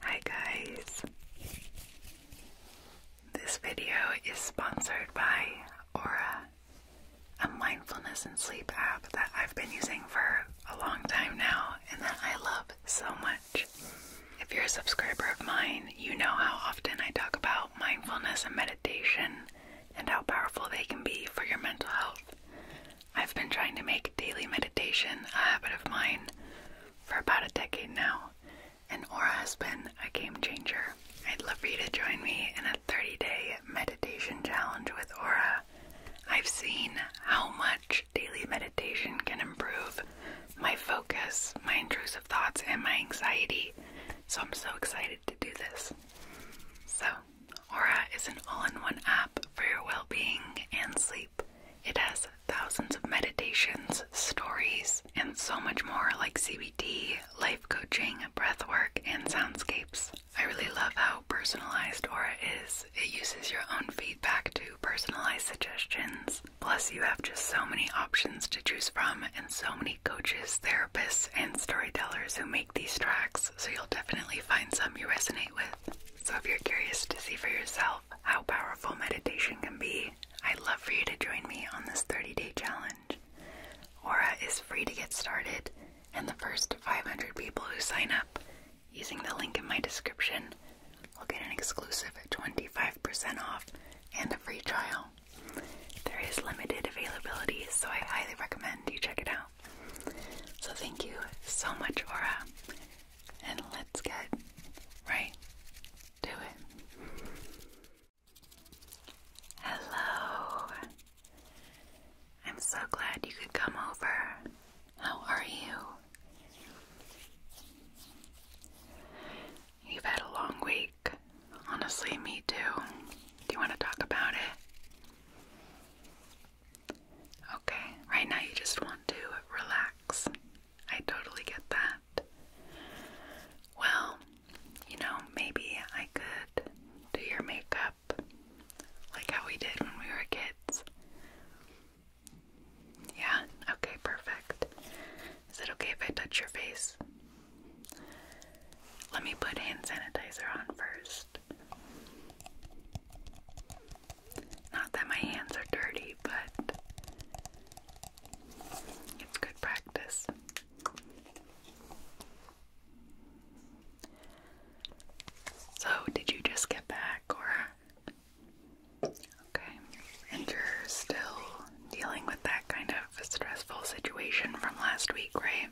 Hi guys. This video is sponsored by Aura, a mindfulness and sleep app that I've been using for a long time now and that I love so much. If you're a subscriber of mine, you know how often I talk about mindfulness and meditation and how powerful they can be for your mental health. I've been trying to make daily meditation a habit of mine for about a decade now, and Aura has been a game changer. I'd love for you to join me in a 30 day meditation challenge with Aura. I've seen how much daily meditation can improve my focus, my intrusive thoughts, and my anxiety, so I'm so excited to do this. So, Aura is an all in one app for your well being and sleep. It has thousands of meditations, stories, and so much more like CBT, life coaching, breathwork, and soundscapes. I really love how personalized Aura is. It uses your own feedback to personalize suggestions. Plus, you have just so many options to choose from and so many coaches, therapists, and storytellers who make these tracks, so you'll definitely find some you resonate with. So, if you're curious to see for yourself how powerful meditation can be, I'd love for you to join me on this 30 day challenge. Aura is free to get started, and the first 500 people who sign up using the link in my description will get an exclusive 25% off and a free trial. There is limited availability, so I highly recommend you check it out. So, thank you so much, Aura, and let's get right to it. Hello. I'm so glad you could come over. How are you? You've had a long week. Honestly, me too. Do you want to talk about it? Okay, right now you just want to relax. I totally get that. Well, you know, maybe I could do your makeup like how we did when we were kids. Yeah, okay, perfect. Is it okay if I touch your face? Let me put hand sanitizer on first. Not that my hands are dirty, but it's good practice. So, did you just get back or? Okay. And you're still dealing with that kind of stressful situation from last week, right?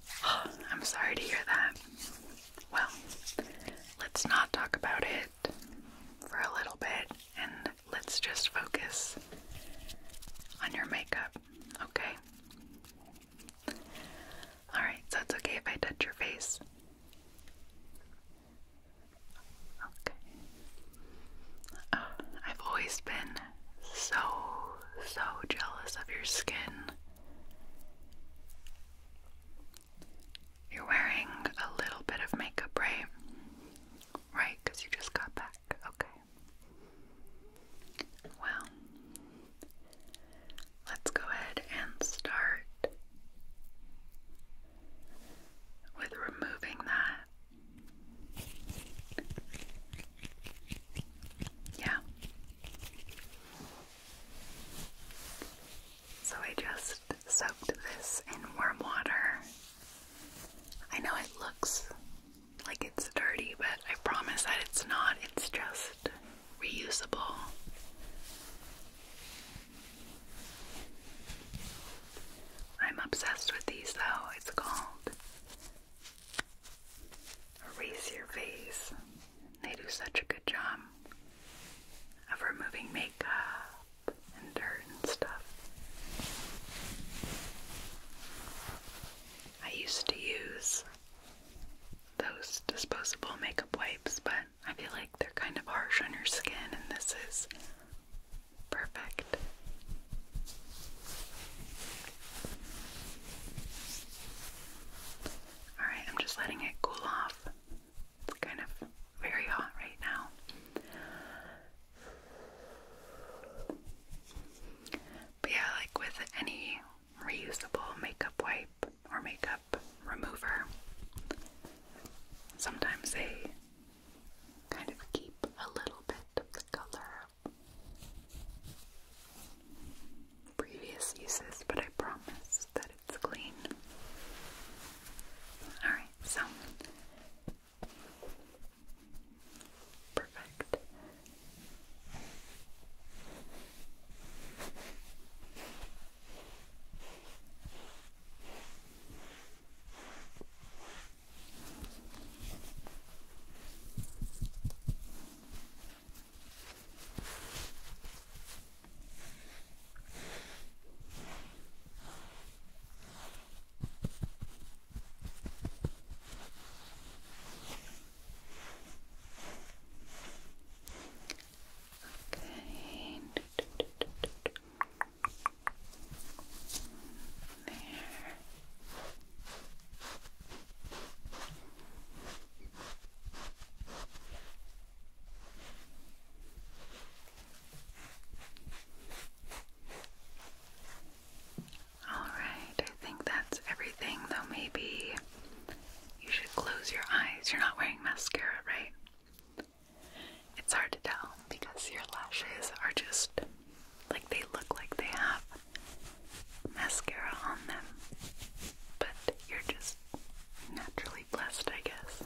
I'm sorry to hear that. Well, let's not talk about it for a little bit and let's just focus on your makeup, okay? Alright, so it's okay if I touch your face. Okay. Oh, I've always been so, so jealous of your skin. You're wearing a little bit of makeup, right? Right, because you just got back. Okay. Well, let's go ahead and start with removing that. Yeah. So I just soaked this in warm water. I know it looks like it's dirty, but I promise that it's not. It's just reusable. I'm obsessed with these though. It's called Erase Your Face. They do such a good job of removing makeup and dirt and stuff. I used to use those disposable makeup wipes, but I feel like they're kind of harsh on your skin, and this is perfect. Alright, I'm just letting it cool off. It's kind of very hot right now. But yeah, like with any reusable makeup wipe or makeup remover, sometimes they kind of keep a little bit of the color previous uses, but I promise that it's clean. Alright, so. Perfect. Okay. There. All right, I think that's everything, though maybe you should close your eyes. You're not wearing mascara, right? It's hard to tell because your lashes are just like they look like they have mascara on them, but you're just naturally blessed, I guess.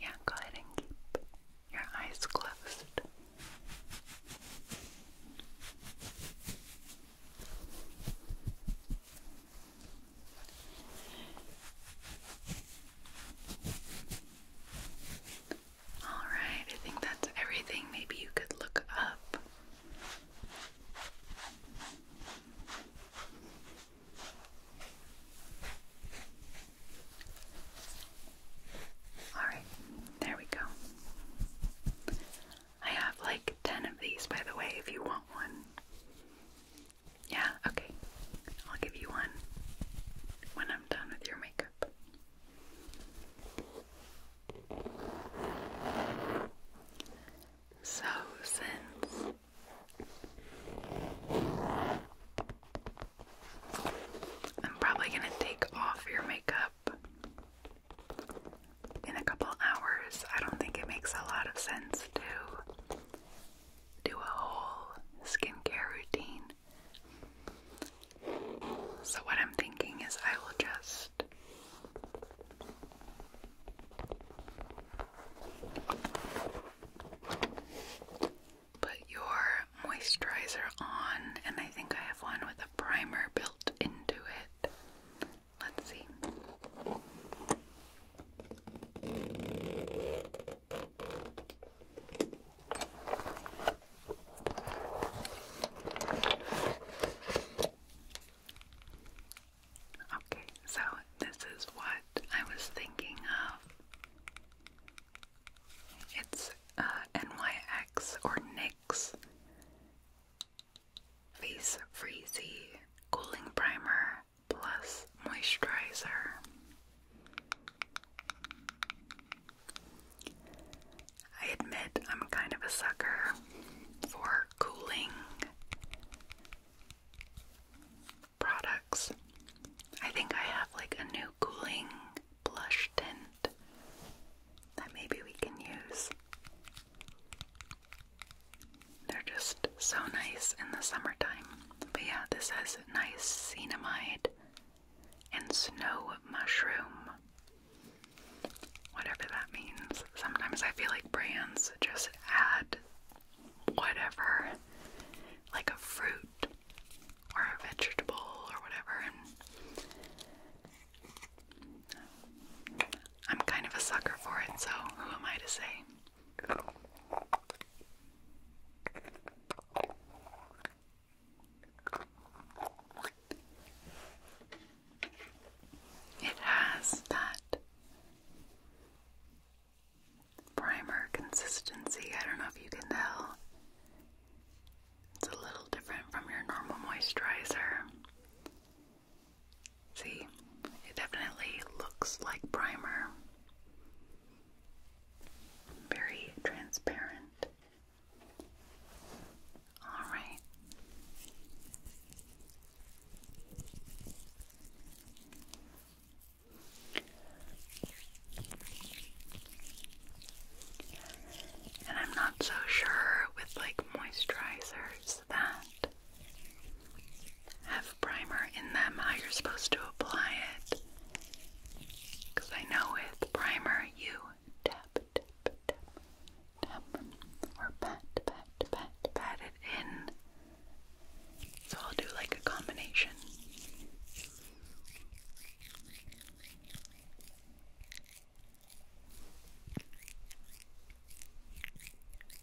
Yeah, go ahead and keep your eyes closed. Alright, I think that's everything. Maybe you could look up. Alright, there we go. I have like 10 of these, by the way, if you want one. Yeah, okay. I'll give you one when I'm done with your makeup. So, since I'm probably going to take off your makeup in a couple hours, I don't think it makes a lot of sense to do a whole skincare routine. So, what I'm thinking is, I will just put your moisturizer on, and I think I have one with a primer built into it. Let's see. Okay, so this is what I was thinking of. It's uh, NYX or Nix Face Freezy Cooling Primer Plus Moisturizer. I admit I'm kind of a sucker for cooling products. I think I have like a new cooling blush tint that maybe we can use. They're just so nice in the summertime. But yeah, this has nice cinnamide and snow mushroom. Whatever that means. Sometimes I feel like brands just add whatever, like a fruit or a vegetable or whatever. I'm kind of a sucker for it, so who am I to say? It has that primer consistency. I don't know if you can tell. It's a little different from your normal moisturizer. See, it definitely looks like primer. Very transparent. All right. And I'm not so sure with like moisturizers that have primer in them, how you're supposed to apply it. Because I know with primer, you tap, tap, tap, or pat, pat, pat, pat it in. So I'll do like a combination.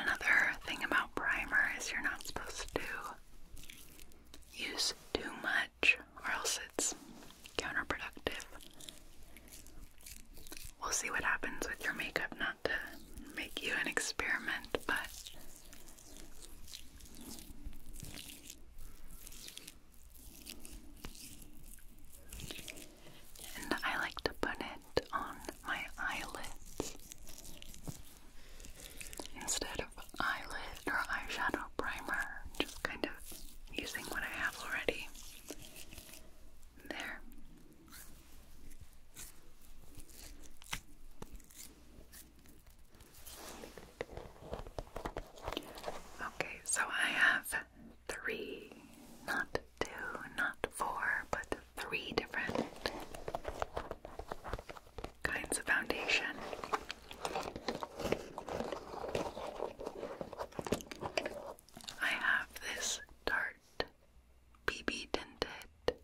Another thing about primer is you're not supposed to use too much or else it's counterproductive. We'll see what happens with your makeup, not to make you an experiment, but I like to put in on my eyelids instead of eyelid or eyeshadow primer, just kind of using what I have already. There. Okay, so I have three, not two, not four, but three different kinds of foundation. I have this Tarte BB Tinted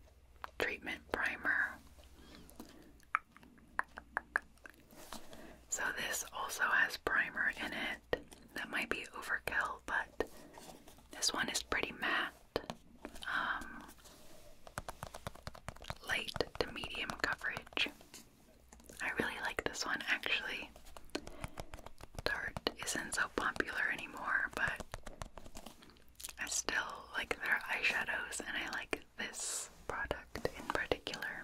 Treatment Primer. So, this also has primer in it that might be overkill, but this one is pretty matte. Um, light to medium coverage. I really like this one actually. Tarte isn't so popular anymore, but I still like their eyeshadows and I like this product in particular.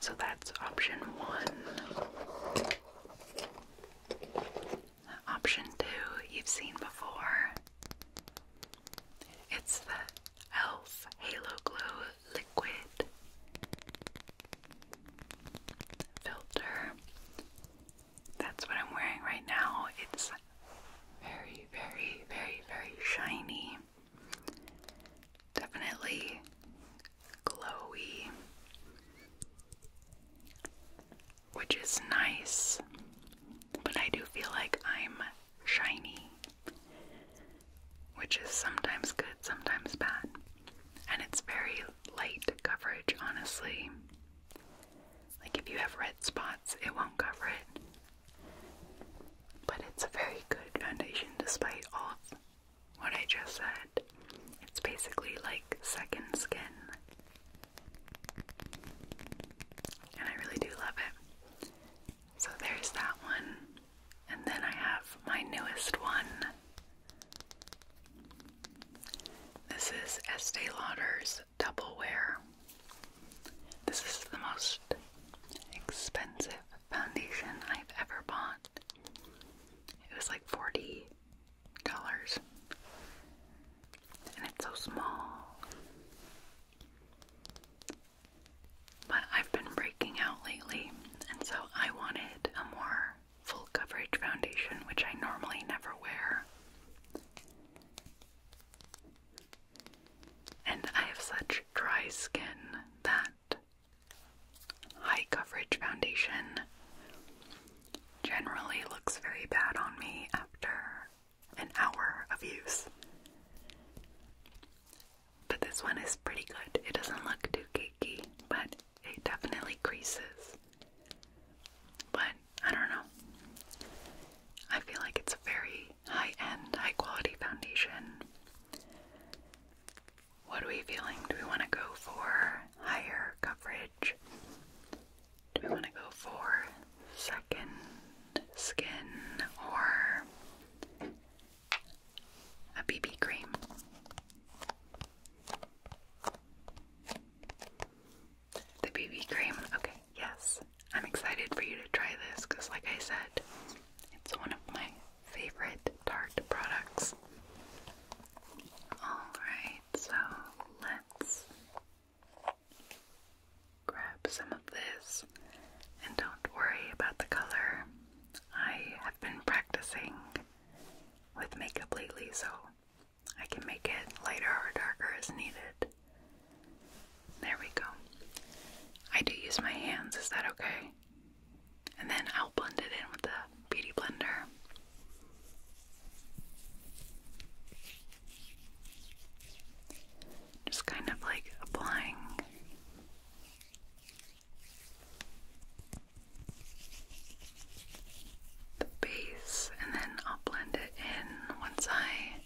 So that's option one. Option two, you've seen before. It's the e.l.f. Halo Glow Liquid Filter. That's what I'm wearing right now. It's very, very, very, very shiny. Definitely glowy which is nice, but I do feel like I'm shiny, which is sometimes good, sometimes bad. And it's very light coverage, honestly. Like if you have red spots, it won't cover it. But it's a very good foundation despite all of what I just said. It's basically like second skin. And I really do love it. So there's that one. And then I have my newest one. This is Estee Lauder's Double Wear. This is the most expensive foundation I've ever bought. It was like 40 colors. And it's so small. But I've been breaking out lately, and so I wanted a more full coverage foundation, which I normally never wear. And I have such dry skin that high coverage foundation generally looks very bad on me after an hour of use. But this one is pretty good. It doesn't look too cakey, but it definitely creases. But I don't know. I feel like it's a very high end, high quality foundation. What are we feeling? Do we want to go for higher coverage? Do we want to go for second skin or a BB cream? The BB cream? Okay, yes. I'm excited for you to try this because, like I said, it's one of my favorite Tarte products. Alright so let's grab some of this and don't worry about the color. I have been practicing with makeup lately, so I can make it lighter or darker as needed. There we go. I do use my hands, is that okay? And then I'll blend it in with the beauty blender. Just kind of like applying the base, and then I'll blend it in once I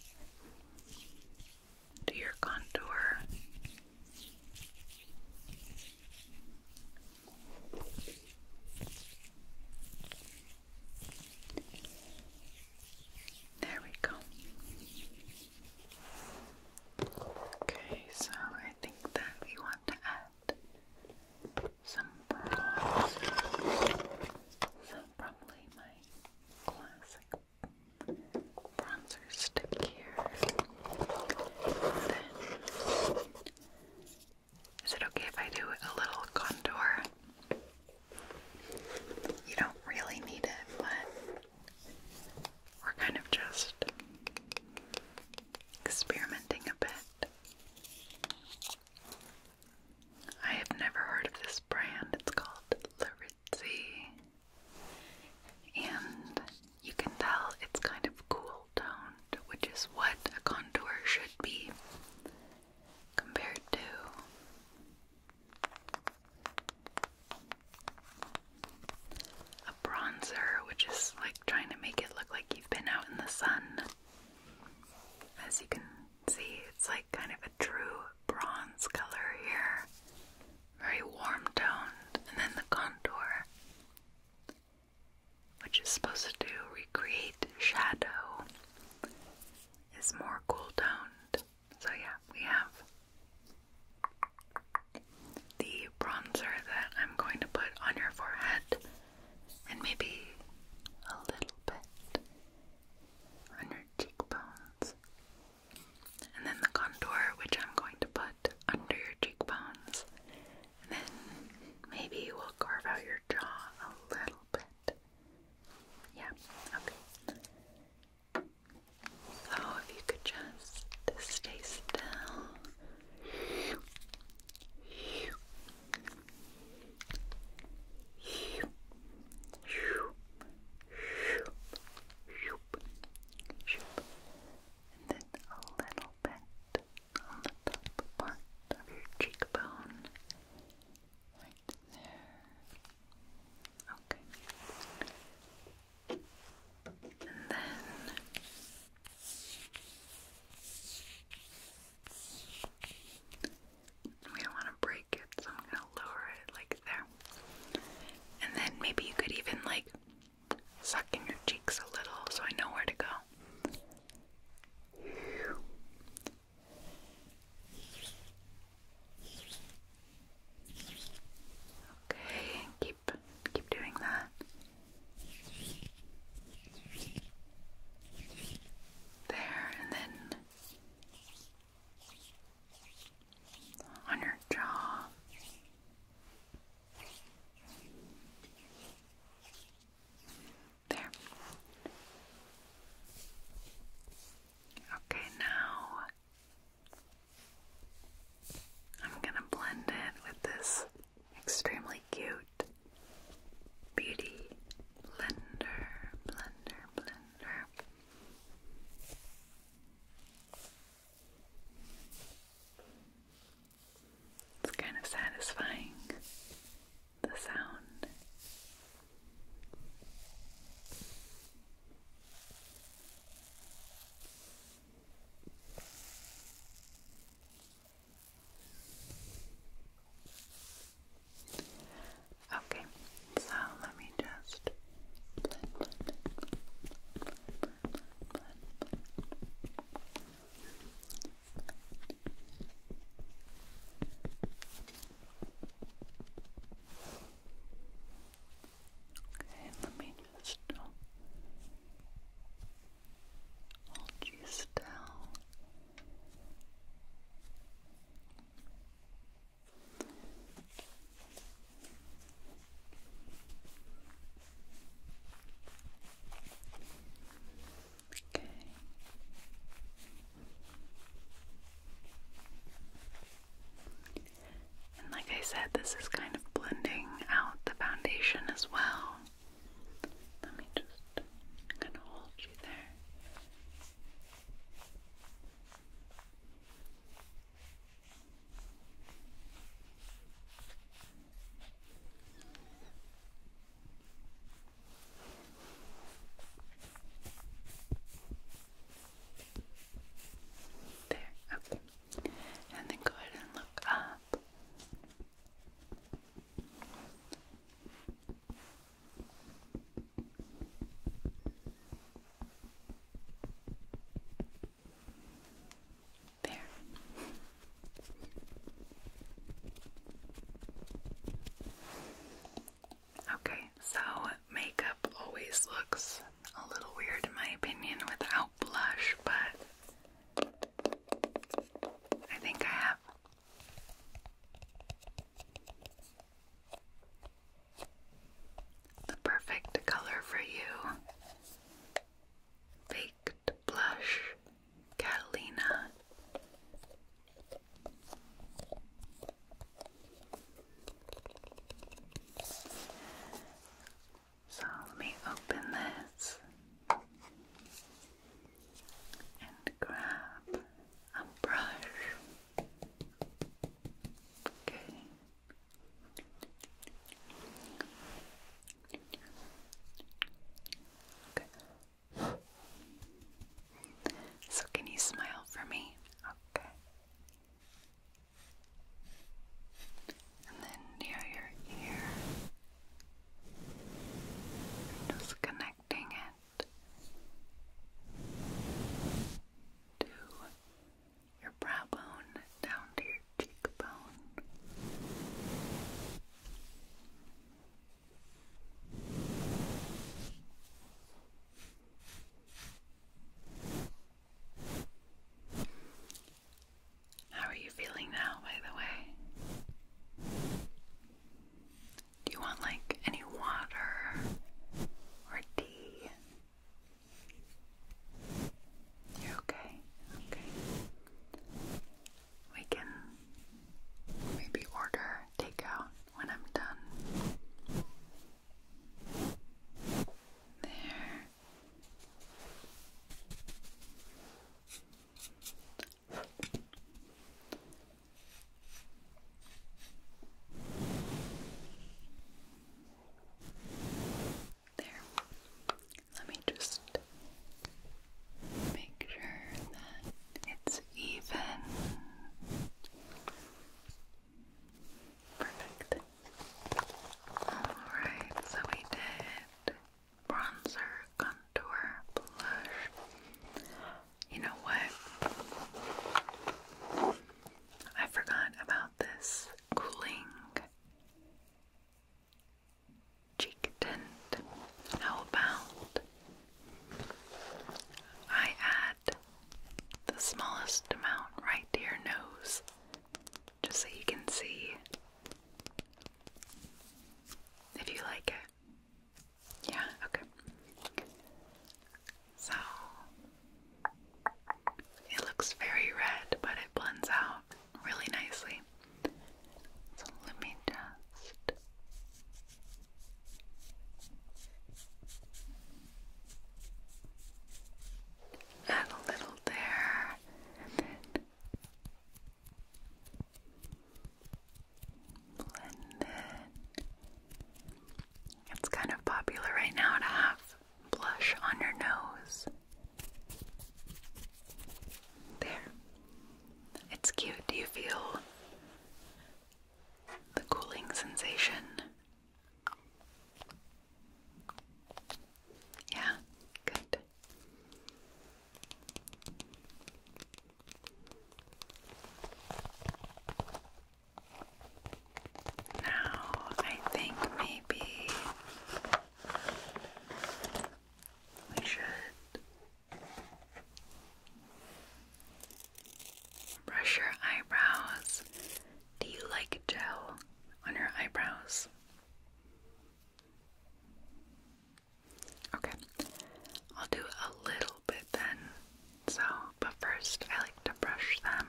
do your contour. There we go. Okay, so I think that we want to add some pearls. So probably my classic bronzer stick here. Is it okay if I do a little contour? You don't really need it, but we're kind of just experimenting a bit. I have never heard of this brand. It's called Larizzi. And you can tell it's kind of cool toned which is what a contour should be compared to a bronzer, which is like trying to make it look like you've been out in the sun. As you can see, it's like kind of a true bronze color here, very warm toned, and then the contour which is supposed to recreate shadow, is more cool toned. So, yeah, we have the bronzer that I'm going to put on your forehead and maybe a little bit on your cheekbones, and then the contour, which I'm going to put under your cheekbones and then maybe we'll carve out your jaw a little bit. Yeah, okay. So if you could just stay still. And then a little bit on the top part of your cheekbone. Right there. Okay. And then we don't want to break it, so I'm gonna lower it like there. And then maybe you could even like suck in your cheeks a little so I know where to go. Okay, keep keep doing that. There and then on your jaw. There. Okay, now I'm going to blend it with this extremely cute beauty blender, blender, blender. It's kind of satisfying, the sound. Okay, so let me just Okay, let me just hold you still. And like I said, this is kind of blending out the foundation as well. Let me just I'm hold you there. There, okay. And then go ahead and look up. There. Okay, so makeup always looks a little weird in my opinion without blush, but I think I have. The perfect color for you. Baked blush. Catalina. So let me open this and grab a brush. Okay. Okay. So, can you smile for me? Okay. And then near your ear, just connecting it to your brow bone down to your cheekbone. How are you feeling now, by the way? Do you want like any water or tea? You're okay. Okay we can maybe order takeout when I'm done. There. There. Let me just make sure that it's even. Perfect. Alright, so we did bronzer, contour, blush. You know what? I forgot about this cooling cheek tint. How about I add the smallest amount right to your nose just so you can see if you like it? Yeah, okay. So it looks very red, but it blends out really nicely. So let me just add a little there blend it. It's kind of popular right now to have blush on your nose. There. It's cute. Do you feel the cooling sensation? Yeah, good. Now, I think maybe we should brush your eyebrows. Do you like gel on your eyebrows? Okay, I'll do a little bit then. So, but first, I like to brush them.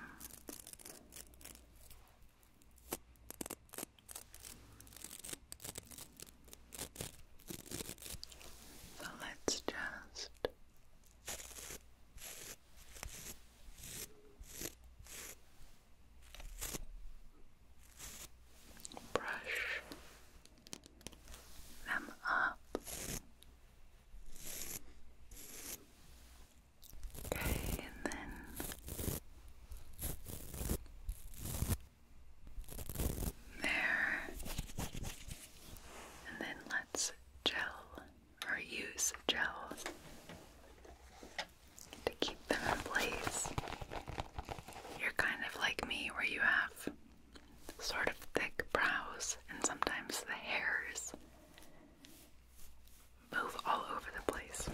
So let's just brush them up. Okay, and then there. And then let's gel or use gel to keep them in place. You're kind of like me where you have sort of thick brows and sometimes the hairs move all over the place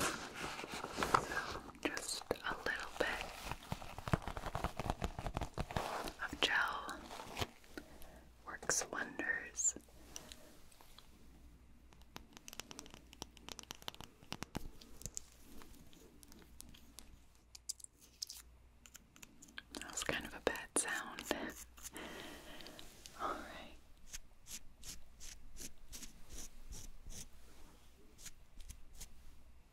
just a little bit of gel works wonders. That was kind of a bad sound. All right.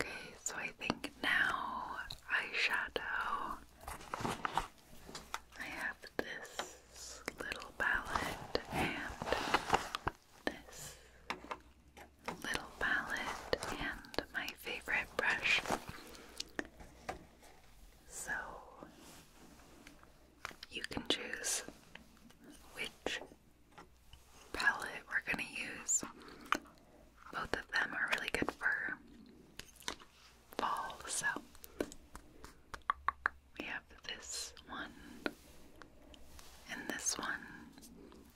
Okay, so I think now eyeshadow. I have this little palette and this little palette and my favorite brush so you can choose which palette we're going to use. Both of them are really good for fall. So we have this one and this one.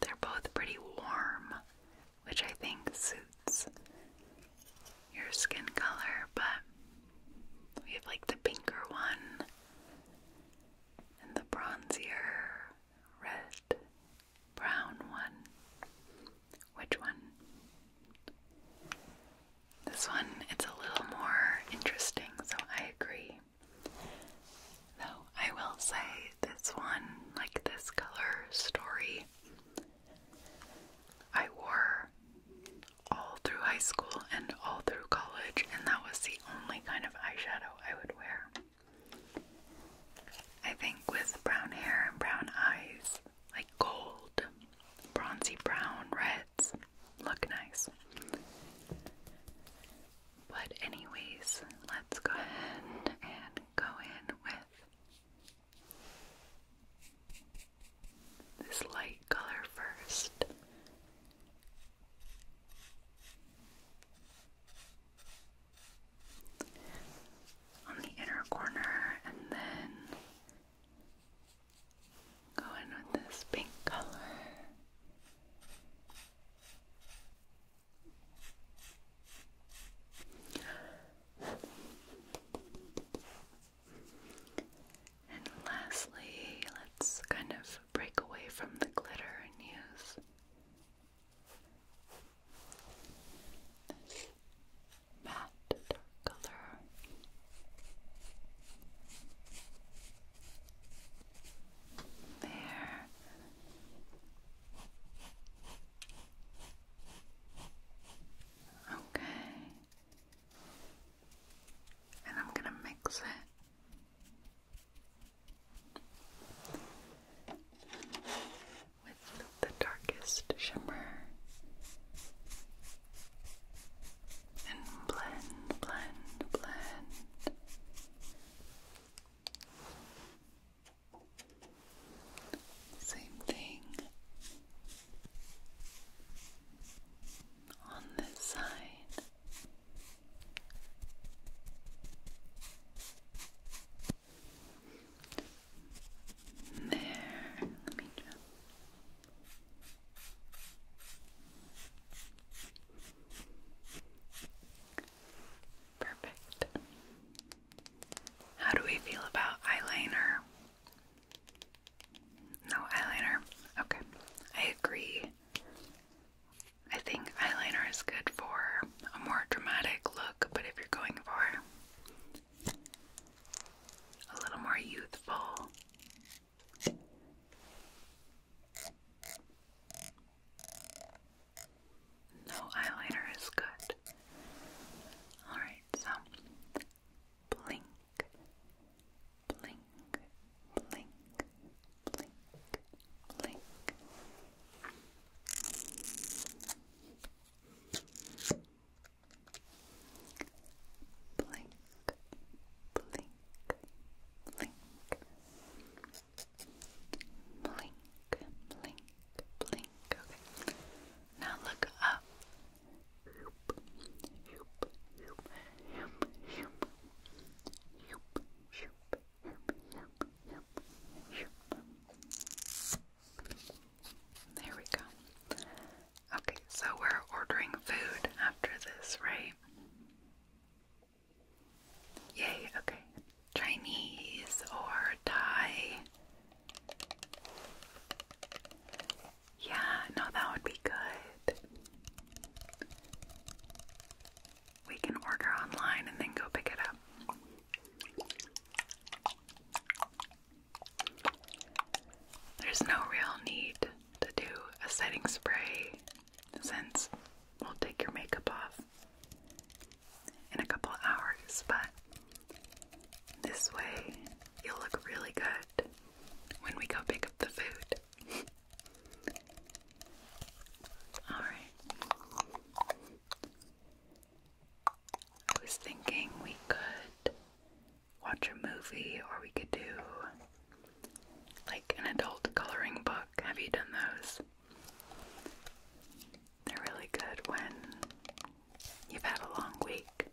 They're both pretty warm which I think suits your skin color, but we have like the pinker one and the bronzier red brown one. Which one? This one, it's a little more interesting, so I agree. Though I will say this one, like this color story, I wore all through high school and all through college, and that was the only kind of eyeshadow I would wear. I think with brown hair and brown eyes, like gold, bronzy brown, reds, look nice. But, anyways, let's go ahead and go in with this light color first. On the inner corner, and then go in with this pink color. And lastly, let's kind of break away from the glitter and use this matte color. There. Okay. And I'm going to mix it with the darkest shimmer and blend, blend, blend. Same thing on this side. There, let me just. Perfect. How do we feel about eyeliner? No eyeliner. Okay, I agree. I think eyeliner is good for a more dramatic look, but if you're going for a little more youthful, no eyeliner is good. Alright, so blink, blink, blink, blink, blink. Blink, blink, blink, blink, blink, blink. Okay. Now look up. There we go. Okay, so we're ordering food after this, right? Yay, okay. Chinese or Thai. Yeah, no, that would be good. We can order online and then go pick it up. There's no real need to do a setting spray since we'll take your makeup off in a couple hours, but this way you'll look really good when we go pick up the food. Alright. I was thinking we could watch a movie or we could do like an adult coloring book. Have you done those? They're really good when you've had a long week.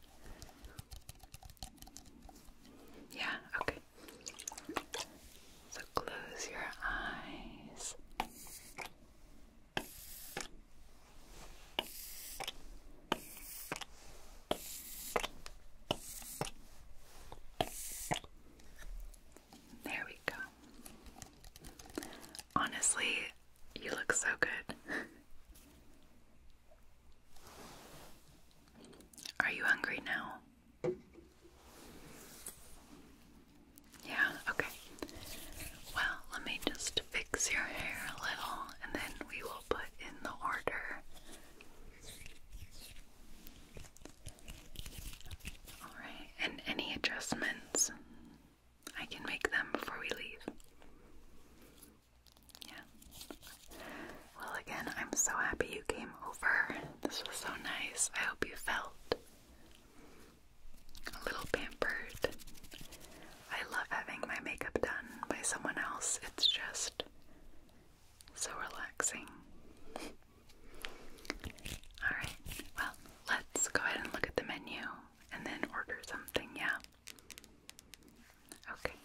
Yeah, okay. So close your eyes. There we go. Honestly, you look so good. Are you hungry now? Yeah, okay. Well, let me just fix your hair a little and then we will put in the order. Alright, and any adjustments? I can make them before we leave. Yeah. Well, again, I'm so happy you came over. This was so nice. I hope you felt a little pampered. I love having my makeup done by someone else. It's just so relaxing. Alright, well, let's go ahead and look at the menu and then order something, yeah? Okay.